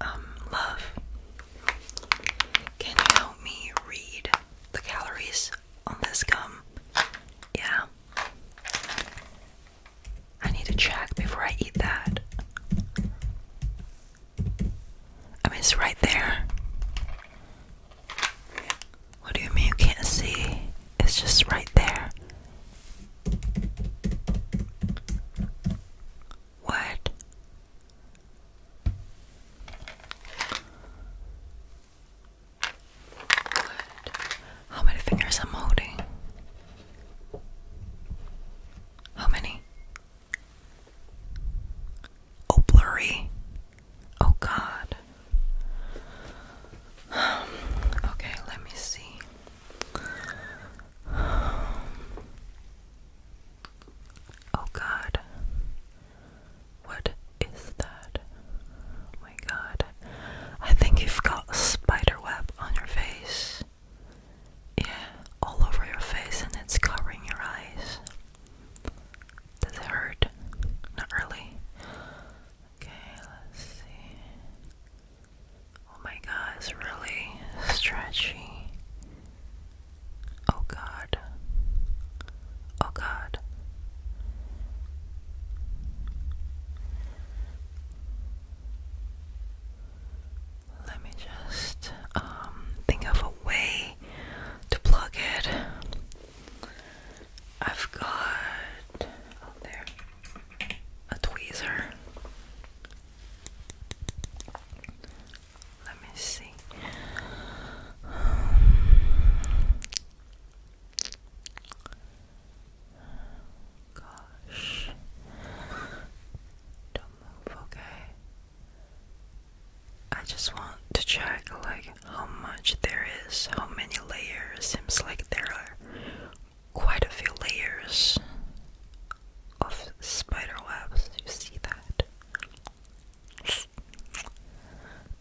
Um, love, can you help me read the calories on this gum? Yeah. I need to check before I eat that. I mean, it's right there. What do you mean you can't see? It's just right there. What? What? How many fingers I'm holding? How many? Oh, blurry. Oh God. okay, let me see. Oh God. What is that? Oh, my God. I think you've got a spider web on your face. Yeah, all over your face, and it's covering your eyes. Does it hurt? Not really. Okay, let's see. Oh my god, it's really stretchy. Oh god. Oh god. Let me just um think of a way to plug it. I've got oh, a tweezer. Let me see. gosh. Don't move, okay? I just want to check like how much there is, how many layers. Seems like there are quite a few layers of spider webs. You see that?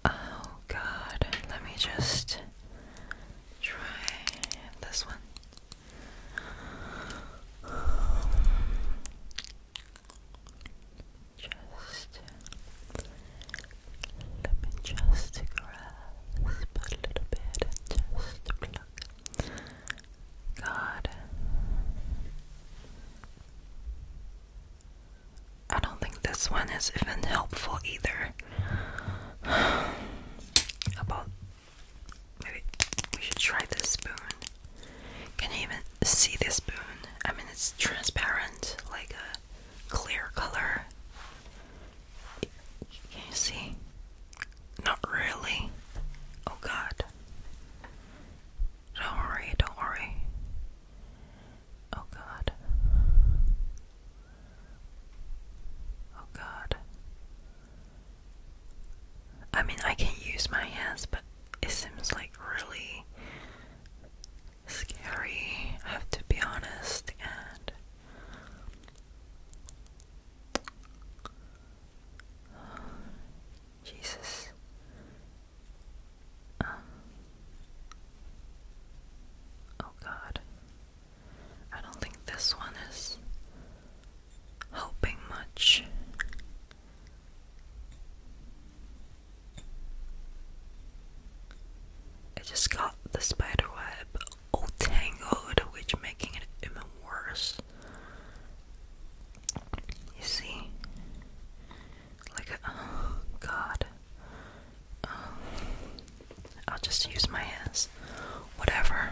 Oh god, let me just try this one just let me just grasp a little bit just pluck. God, I don't think this one is even helpful either. About maybe we should try this spoon. Can you even see this spoon? I mean, it's transparent, like a clear color. Can you see? Not really. Oh god. Don't worry, don't worry. Oh god. Oh god. I mean, I can use my hands, but it seems like really scary, I have to be honest, and Jesus. Um, oh God, I don't think this one is helping much. I just got the spider web all tangled, which making it even worse. You see, like a, oh uh, god. Um, I'll just use my hands. Whatever.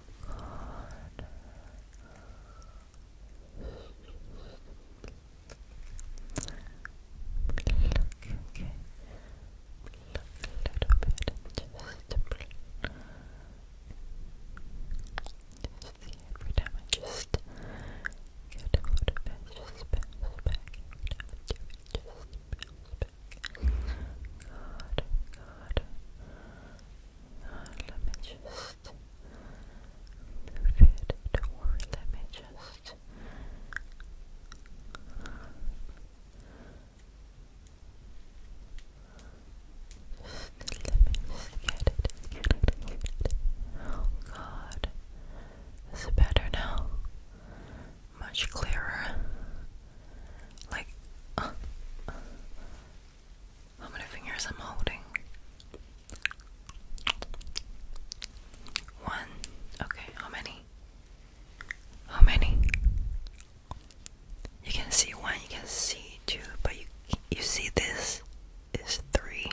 every time I just get hold of it, just bounce back. Every time I do it, just bounce back. God, God. God, uh, let me just move it. Don't worry. Let me just. let me get it, get it, get it. Oh, God, this is better now. Much clearer. Like, uh, uh, how many fingers I'm holding? One. Okay, how many? How many? You can see one, you can see two, but you you see this is three.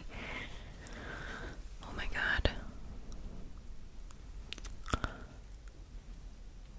Oh my god.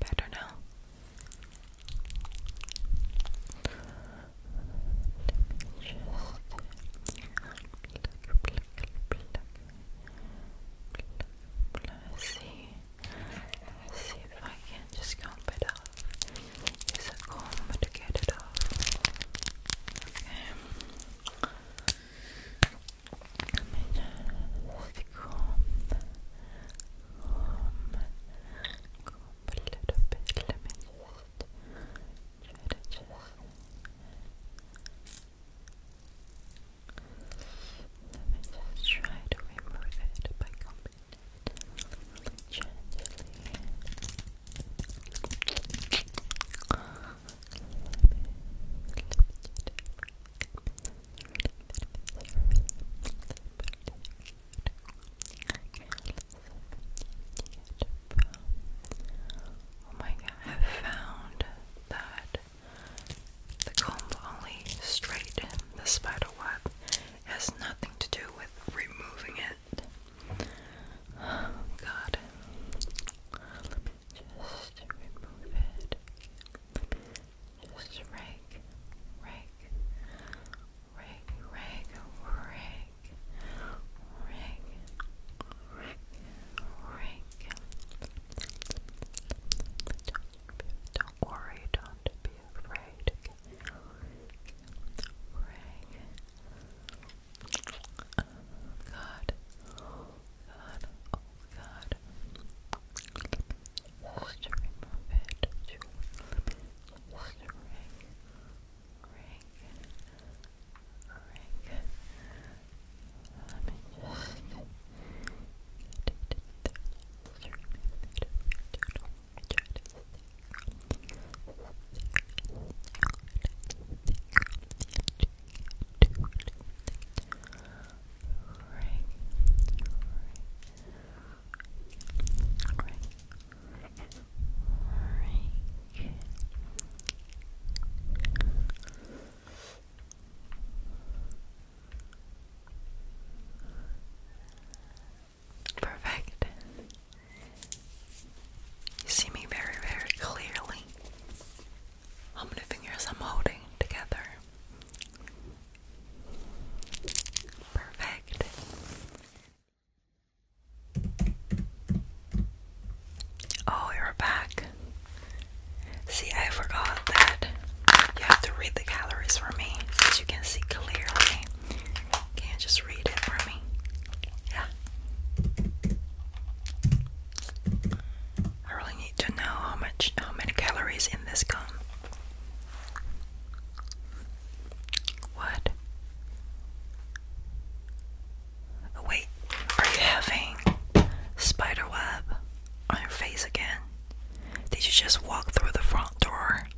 Better now see if I can just comb it off. Use a comb to get it off. Okay. Let me just comb, comb, comb a little bit. Let me just try to just let me try to remove it by combing gently. Oh my god, I found that the comb only straight the spider web. It has nothing to do with removing it. God. just remove it. Just rake, rake, rake, rake, rake, rake, rake, rake, don't worry, don't be afraid. Pray. God. God. Oh God. ring. Ring. Ring. Ring. Let me just get it Right. Perfect. You see me very, very clearly. How many fingers I'm holding together? Perfect. Oh, you're back. See, I forgot that you have to read the calories for me since you can see clearly. Can you just read it for me? Yeah. I really need to know how much how many calories in this gum. What? wait, are you having spider web on your face again? Did you just walk through the front door?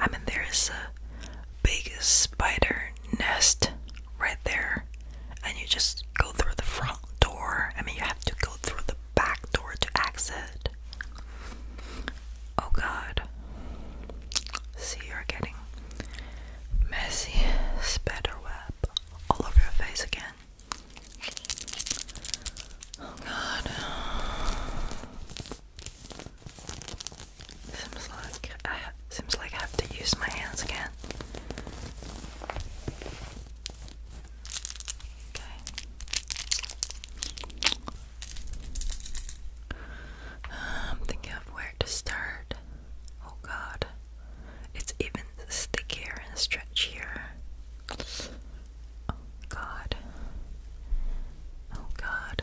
I mean, there's a big spider nest right there, and you just go through the front door. I mean, you have to go through the back door to exit. Oh god. See, you're getting messy spider web all over your face again. Oh god. Seems like I seems like I have to use my hands again. Okay. I'm thinking of where to start. Oh god. It's even stickier and stretchier. Oh god. Oh god.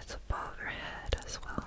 It's above your head as well.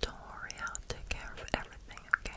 Don't worry, I'll take care of everything, okay?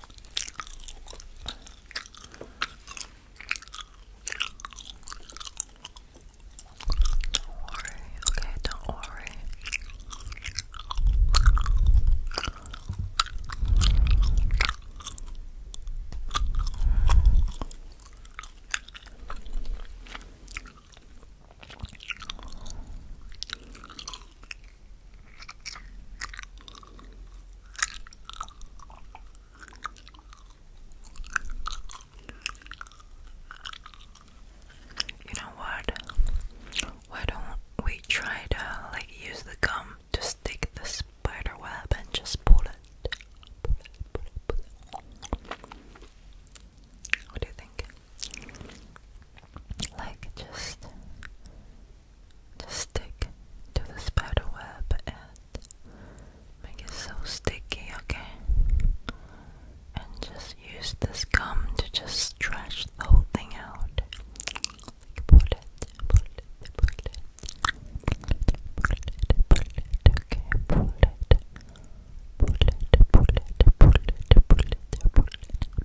Don't worry, okay, don't worry. You know what? Why don't we try to like use the gum to stick the spider web and just pull it? What do you think? Like just just stick to the spider web and make it so sticky, okay? And just use this gum to just stretch the whole thing out. pull it, pull it, pull it, pull it, pull it, pull it, pull it, pull it, pull it, pull it, pull it, pull it, pull it,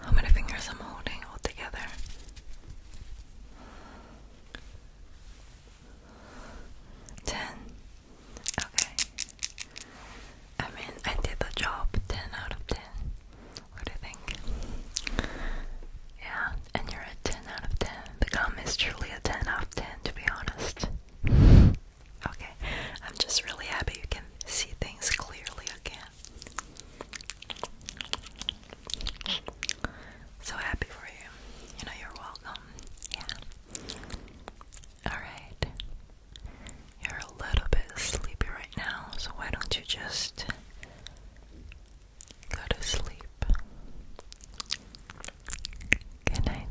How many fingers I'm holding all together? Ten. Okay. I mean, I did the job. Ten out of ten. What do you think? Yeah, and you're a ten out of ten. The gum is truly a ten out of ten, to be honest. Okay, I'm just really happy you can see things clearly again. So happy for you. You know, you're welcome. Yeah. Alright. You're a little bit sleepy right now, so why don't you just go to sleep? Good night.